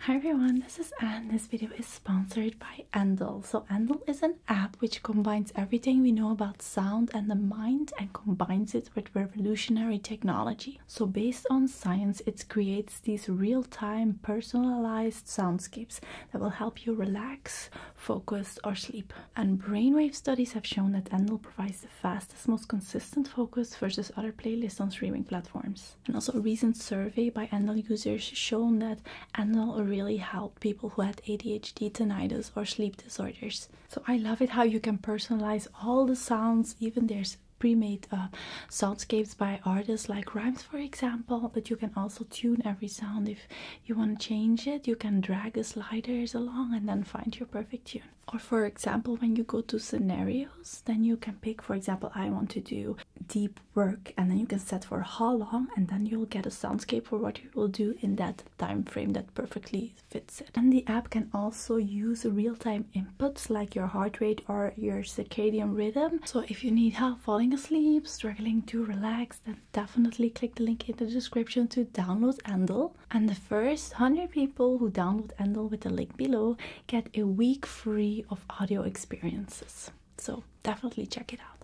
Hi everyone, this is Anne. This video is sponsored by Endel. So Endel is an app which combines everything we know about sound and the mind and combines it with revolutionary technology. So based on science, it creates these real-time personalized soundscapes that will help you relax, focus or sleep. And brainwave studies have shown that Endel provides the fastest, most consistent focus versus other playlists on streaming platforms. And also, a recent survey by Andal users shown that Andal really helped people who had ADHD, tinnitus, or sleep disorders. So I love it how you can personalize all the sounds, even there's pre-made uh, soundscapes by artists like Rhymes, for example. But you can also tune every sound if you want to change it. You can drag the sliders along and then find your perfect tune. Or for example, when you go to scenarios, then you can pick, for example, I want to do deep work and then you can set for how long and then you'll get a soundscape for what you will do in that time frame that perfectly fits it and the app can also use real-time inputs like your heart rate or your circadian rhythm so if you need help falling asleep struggling to relax then definitely click the link in the description to download endel and the first 100 people who download endel with the link below get a week free of audio experiences. So definitely check it out.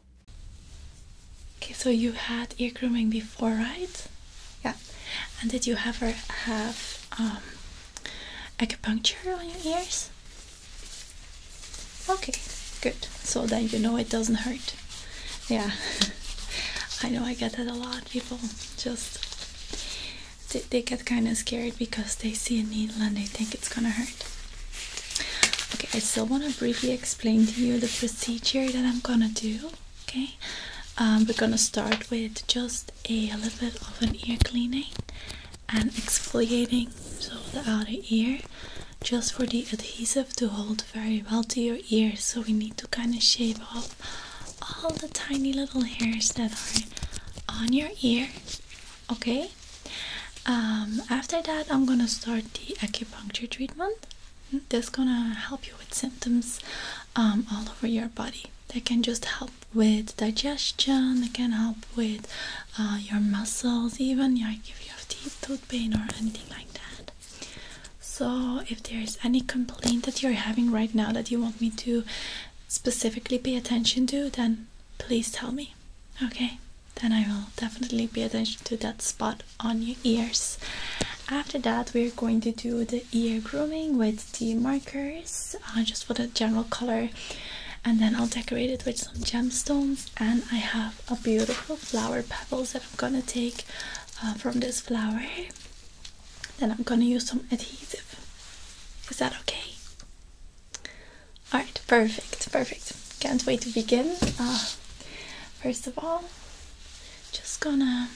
Okay, so you had ear grooming before, right? Yeah. And did you ever have um, acupuncture on your ears? Okay, good. So then you know it doesn't hurt. Yeah. I know I get that a lot. People just they, get kind of scared because they see a needle and they think it's gonna hurt. Okay, I still want to briefly explain to you the procedure that I'm gonna do. Okay, um, we're gonna start with just a, a little bit of an ear cleaning and exfoliating so the outer ear just for the adhesive to hold very well to your ear. So we need to kind of shave off all the tiny little hairs that are on your ear okay um, after that i'm gonna start the acupuncture treatment This gonna help you with symptoms um, all over your body They can just help with digestion it can help with uh, your muscles even like if you have teeth tooth pain or anything like that so if there is any complaint that you're having right now that you want me to specifically pay attention to then please tell me. Okay, then I will definitely pay attention to that spot on your ears. After that, we're going to do the ear grooming with the markers uh, just for the general color, and then I'll decorate it with some gemstones. And I have a beautiful flower petals that I'm gonna take uh, from this flower. Then I'm gonna use some adhesive. Is that okay? All right, perfect, perfect. Can't wait to begin. Uh, first of all, just gonna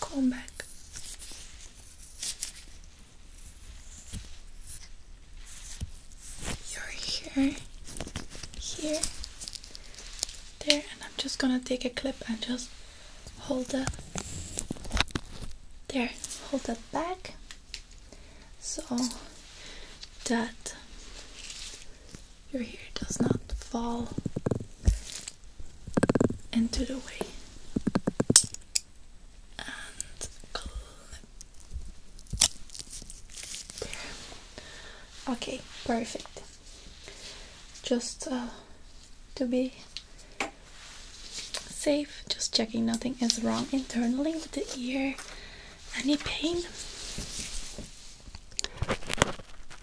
comb back. You're here, there, and I'm just gonna take a clip and just hold the there hold that back so that your hair does not fall into the way okay perfect just uh, to be Safe, just checking nothing is wrong internally with the ear. Any pain?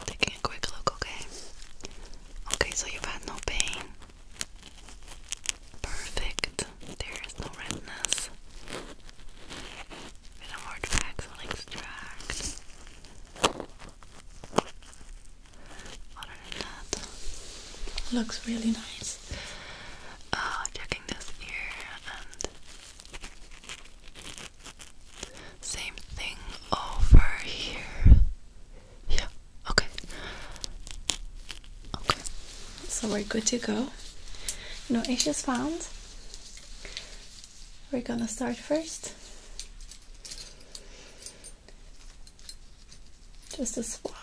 Taking a quick look, okay? Okay, so you've had no pain. Perfect. There is no redness. Bit of hard facts, other than that, looks really nice. Uh, checking this ear and same thing over here. Yeah, okay. Okay, so we're good to go. No issues found. We're gonna start first just a swap.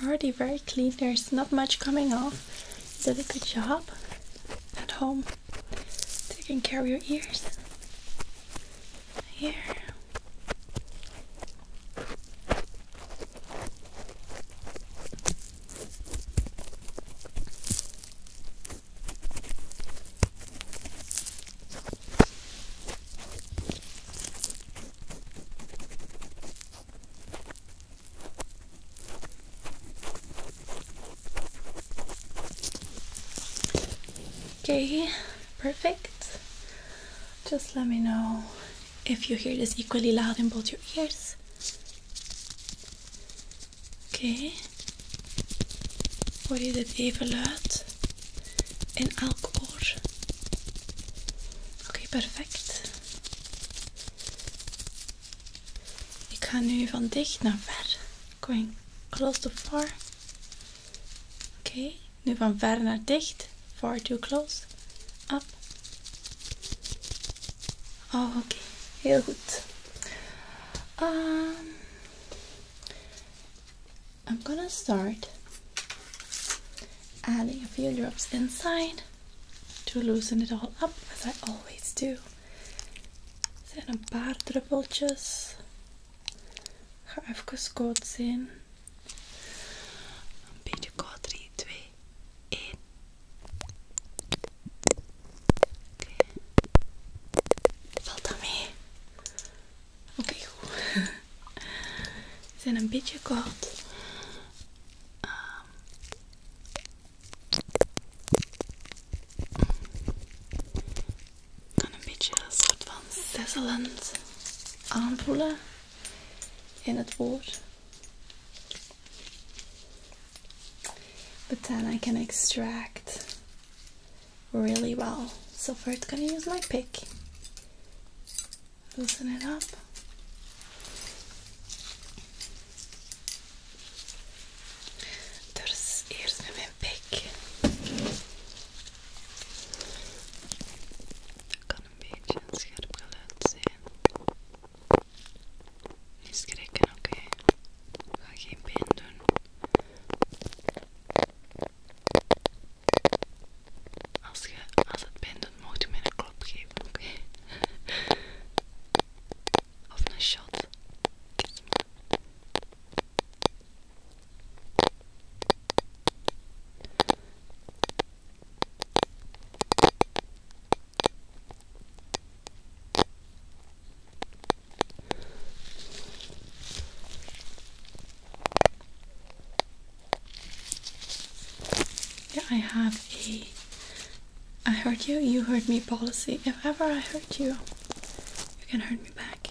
You're already very clean, there's not much coming off. You did a good job at home taking care of your ears here. Okay, perfect. Just let me know if you hear this equally loud in both your ears. Oké. Hoor je dit even luid in elk oor? Oké, perfect. Ik ga nu van dicht naar ver. Going close to far. Oké. Nu van ver naar dicht. Far too close. Up. Oh, Okay. Heel good. Ehm, I'm gonna start adding a few drops inside to loosen it all up as I always do. Then a er een paar druppeltjes. ga even zien. Een beetje koud. 3, 2, 1. Valt dat mee? Oké, zijn een beetje kort dan een beetje een soort van sisselend aanvoelen in het woord. But then I can extract really well. So first gonna use my pick. Loosen it up. Dus eerst met mijn pik. Dat kan een beetje een scherp geluid zijn. Niet schrikken, oké. Okay. Ga geen pijn doen. Als, je, als het pijn doet, mocht je mij een klop geven, oké? of een shot. Yeah, I have a I hurt you, you hurt me policy. If ever I hurt you, you can hurt me back.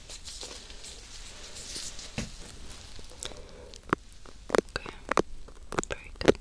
Okay, very good. Okay.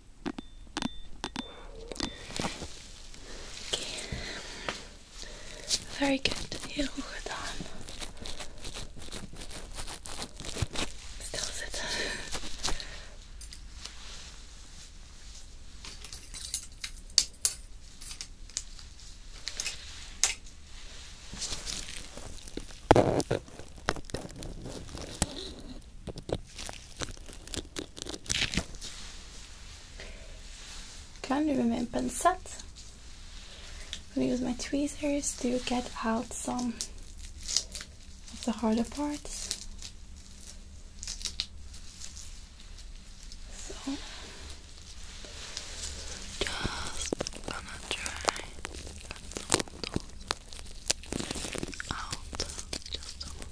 Very good. You look done. Still sit. Kan du med en pensett? I'm gonna use my tweezers to get out some of the harder parts. So just gonna try that out just a little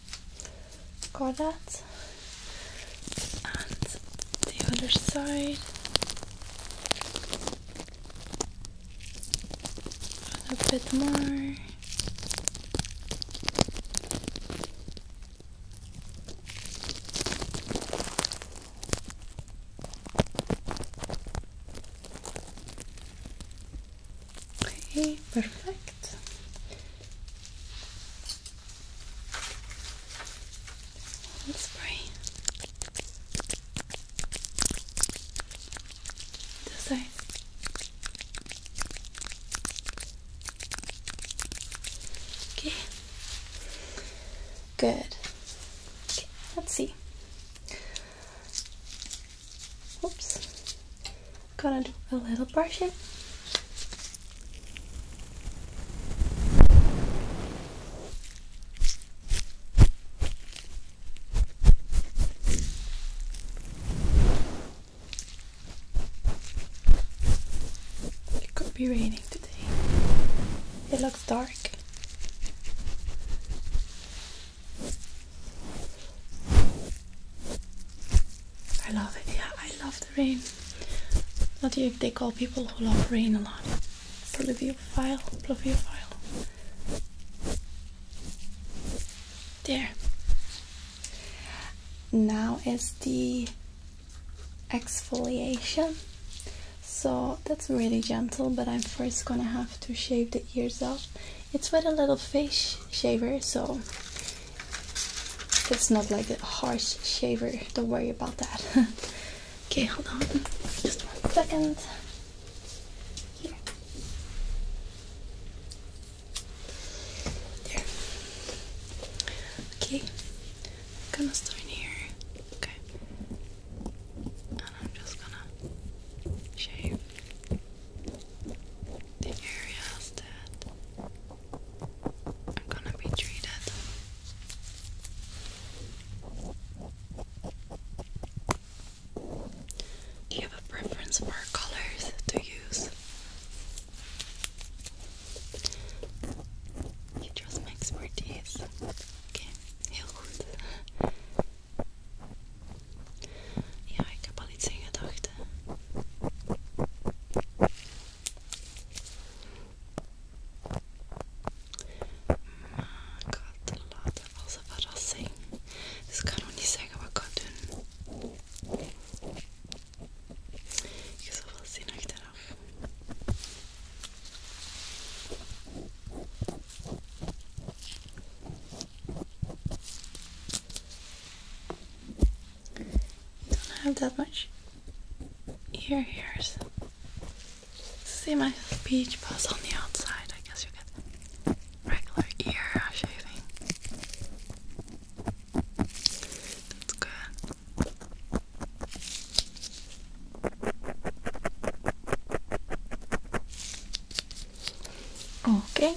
got that and the other side a bit more Okay, perfect. Let's spray the side. Okay, good. let's see. Oops gonna do a little brushing. It could be raining today. It looks dark. I love it. Yeah, I love the rain. Not if they call people who love rain a lot. Pluviophile, pluviophile. There. Now is the exfoliation. So that's really gentle, but I'm first gonna have to shave the ears off. It's with a little face shaver, so it's not like a harsh shaver, don't worry about that. okay, hold on, just one second. Here. There. Okay, I'm gonna start in here. Okay. And I'm just gonna shave the areas that I'm gonna be treated. Do you have a preference for colors to use? You trust my expertise. Okay, heel goed. Ja, ik heb al iets in gedachten. Maar ik ga het als een verrassing. Dus ik kan nog niet zeggen wat ik ga doen. Je zal wel zien achteraf. Don't have that much ear hairs. See my peach buzz on the outside. I guess you get regular ear shaving. That's good. Okay.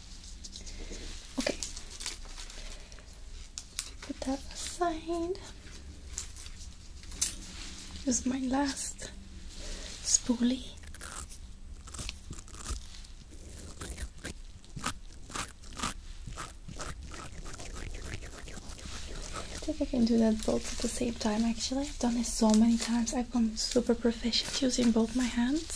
Okay. Put that aside. This is my last spoolie. I think I can do that both at the same time actually. I've done this so many times. I've become super proficient using both my hands.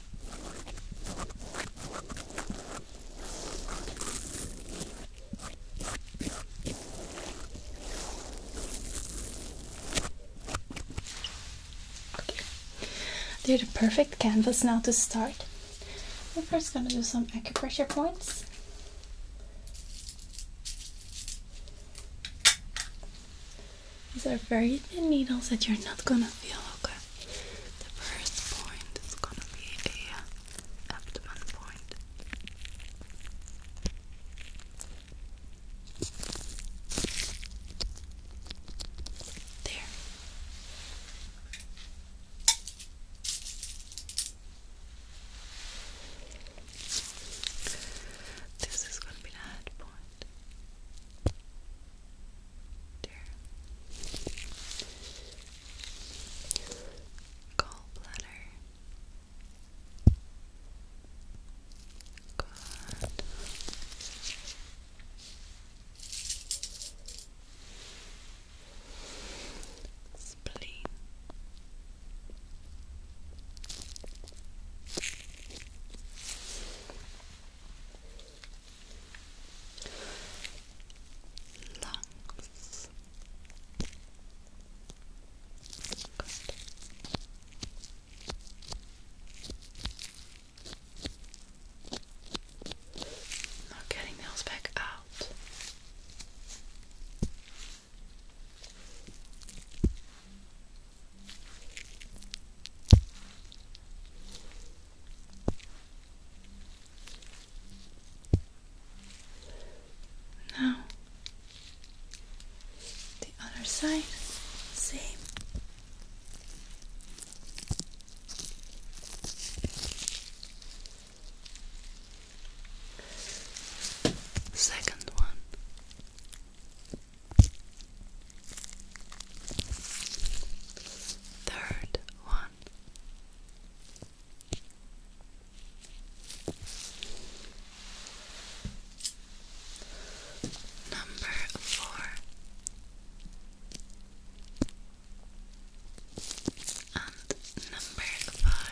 They're the perfect canvas now to start. I'm first going to do some acupressure points. These are very thin needles that you're not gonna feel, okay? The first point is gonna be a abdomen point. There. This is going to be the head point. Gallbladder. Good. Spleen lungs. Good. Not getting those back out. Now the other side, same. Second one. Third one. Number four. And number five.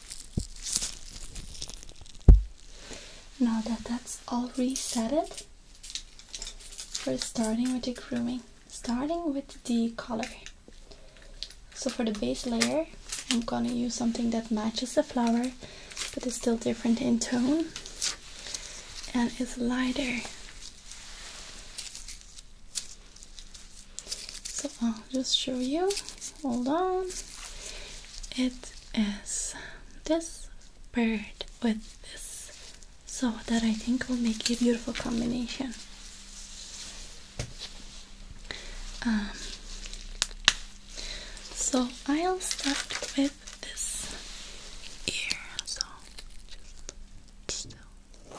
Now that that's all resetted, we're starting with the grooming, starting with the color. So for the base layer, I'm gonna use something that matches the flower, but is still different in tone, and is lighter. So I'll just show you hold on it is this bird with this so that I think will make a beautiful combination um, so I'll start with this ear so just still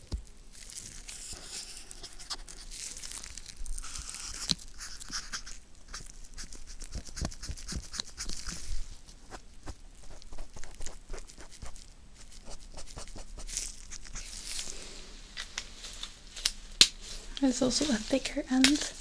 There's also a thicker end.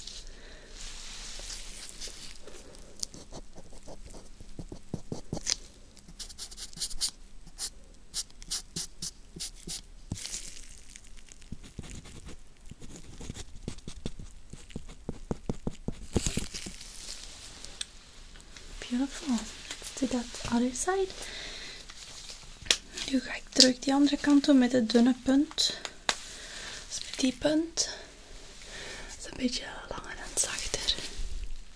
Beautiful. Let's dat that other side. Nu ga ik terug die andere kant doen met het dunne punt. Dus met die punt. Dat is een beetje langer en zachter.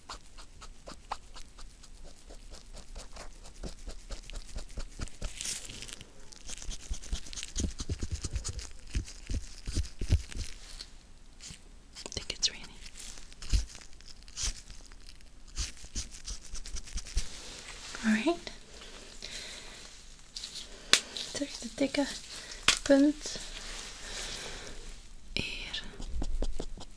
I think it's raining. Alright. Tillräckligt täcka punkt. Er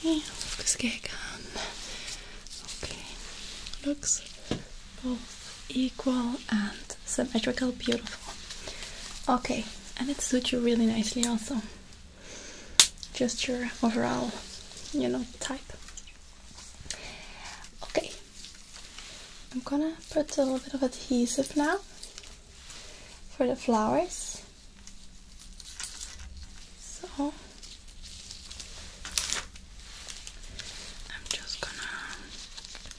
Okay, uzgegam. Okay, looks both equal and symmetrical, beautiful. Okay, and it suits you really nicely also. Just your overall, you know, type. Okay, I'm gonna put a little bit of adhesive now for the flowers. So I'm just gonna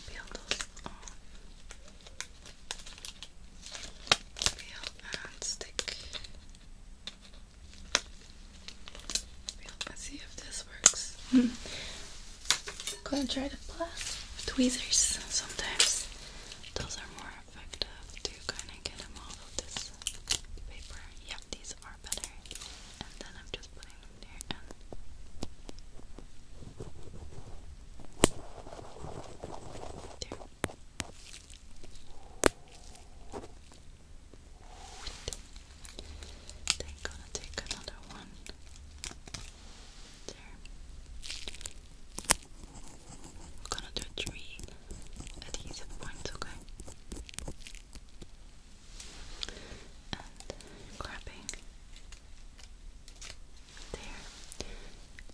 peel those off. Peel and stick. Peel and see if this works. gonna try the plastic tweezers sometimes. Those are more effective to kind of get them off of this paper. Yeah, these are better. And then I'm just putting them there and there. Then gonna take another one. We're gonna do three adhesive points, okay? And grabbing there,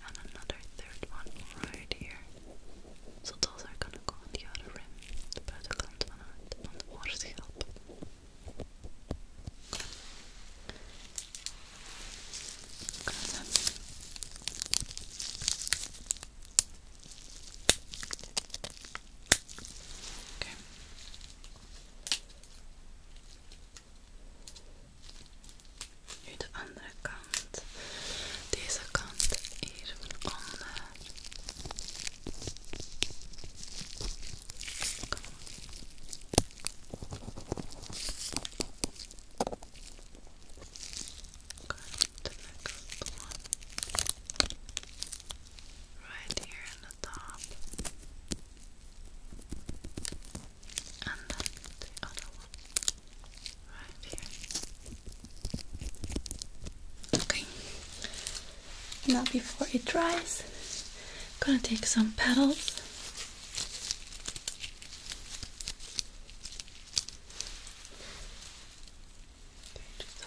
and another third one right here. So those are gonna go on the other rim, de buitenkant van het, van de oorschild. Oké. Nu de andere kant. Deze kant hier van onder. the next one right here in the top and then the other one right here okay now before it dries I'm gonna take some petals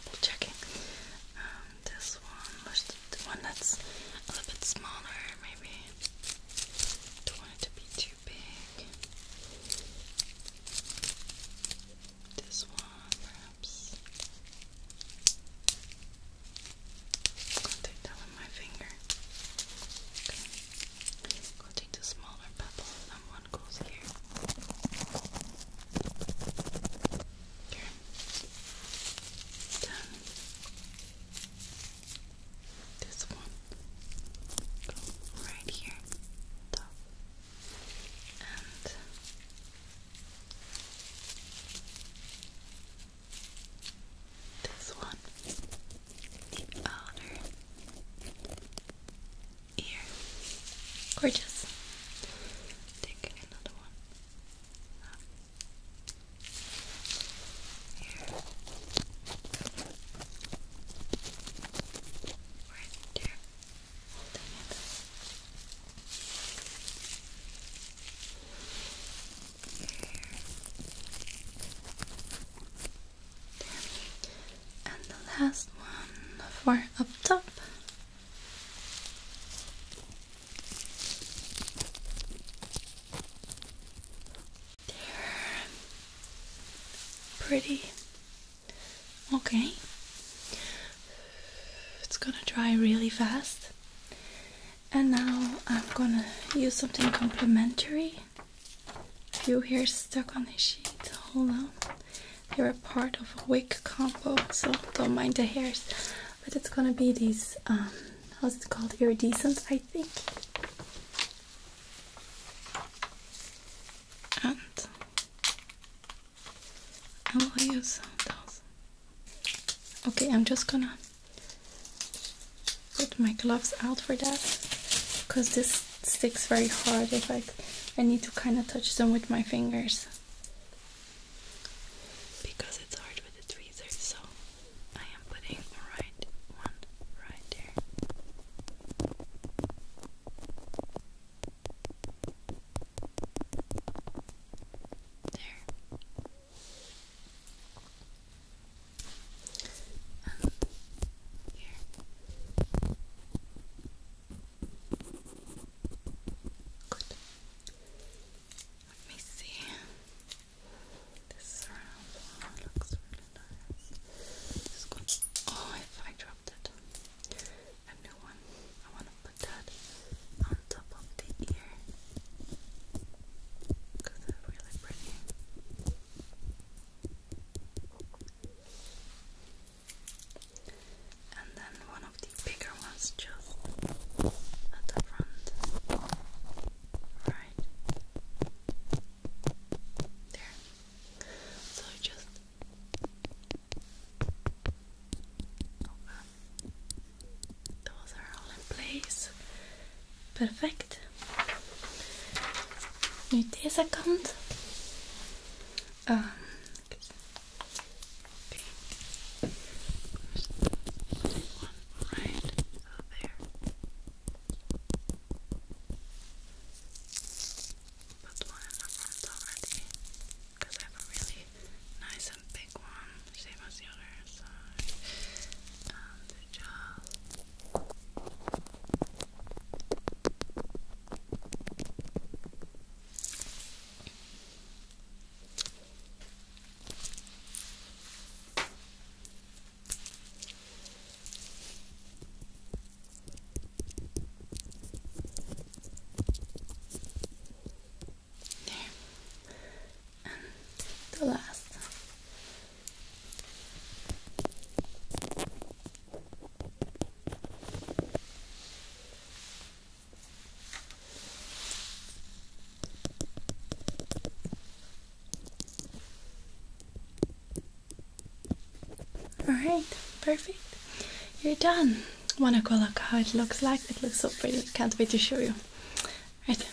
double checking. Um, this one, the one that's a little bit smaller, maybe. Don't want it to be too big. This one, perhaps. I'll take that with my finger. Okay. Go take the smaller pebble and one goes here. Here. Then this one goes right here. Top. And this one, the outer ear. Gorgeous. Taking another one. Here. Right there. Holding it. And the last one for up top. There. Pretty. Okay. It's gonna dry really fast. And now I'm gonna use something complementary few hairs stuck on the sheet. Hold on. They a part of a wig combo, so don't mind the hairs. But it's gonna be these, um, how's it called? Iridescent, I think. And I will use those. Okay, I'm just gonna put my gloves out for that because this sticks very hard if I I need to kind of touch them with my fingers because it's hard with the tweezers so I am putting right one right there there and here. Let me see. This surround looks really nice. Oh, if I dropped it. A new one. I want to put that on top of the ear because they And then one of the bigger ones just at the front. Right. There. So just Those are all in place. Perfect. Nu deze kant. Uh, ah, Put one in the front already because I have a really nice and big one, same as the other side. There. And the last all right, perfect. You're done. Wanna go look how it looks like? It looks so pretty. Can't wait to show you. Right.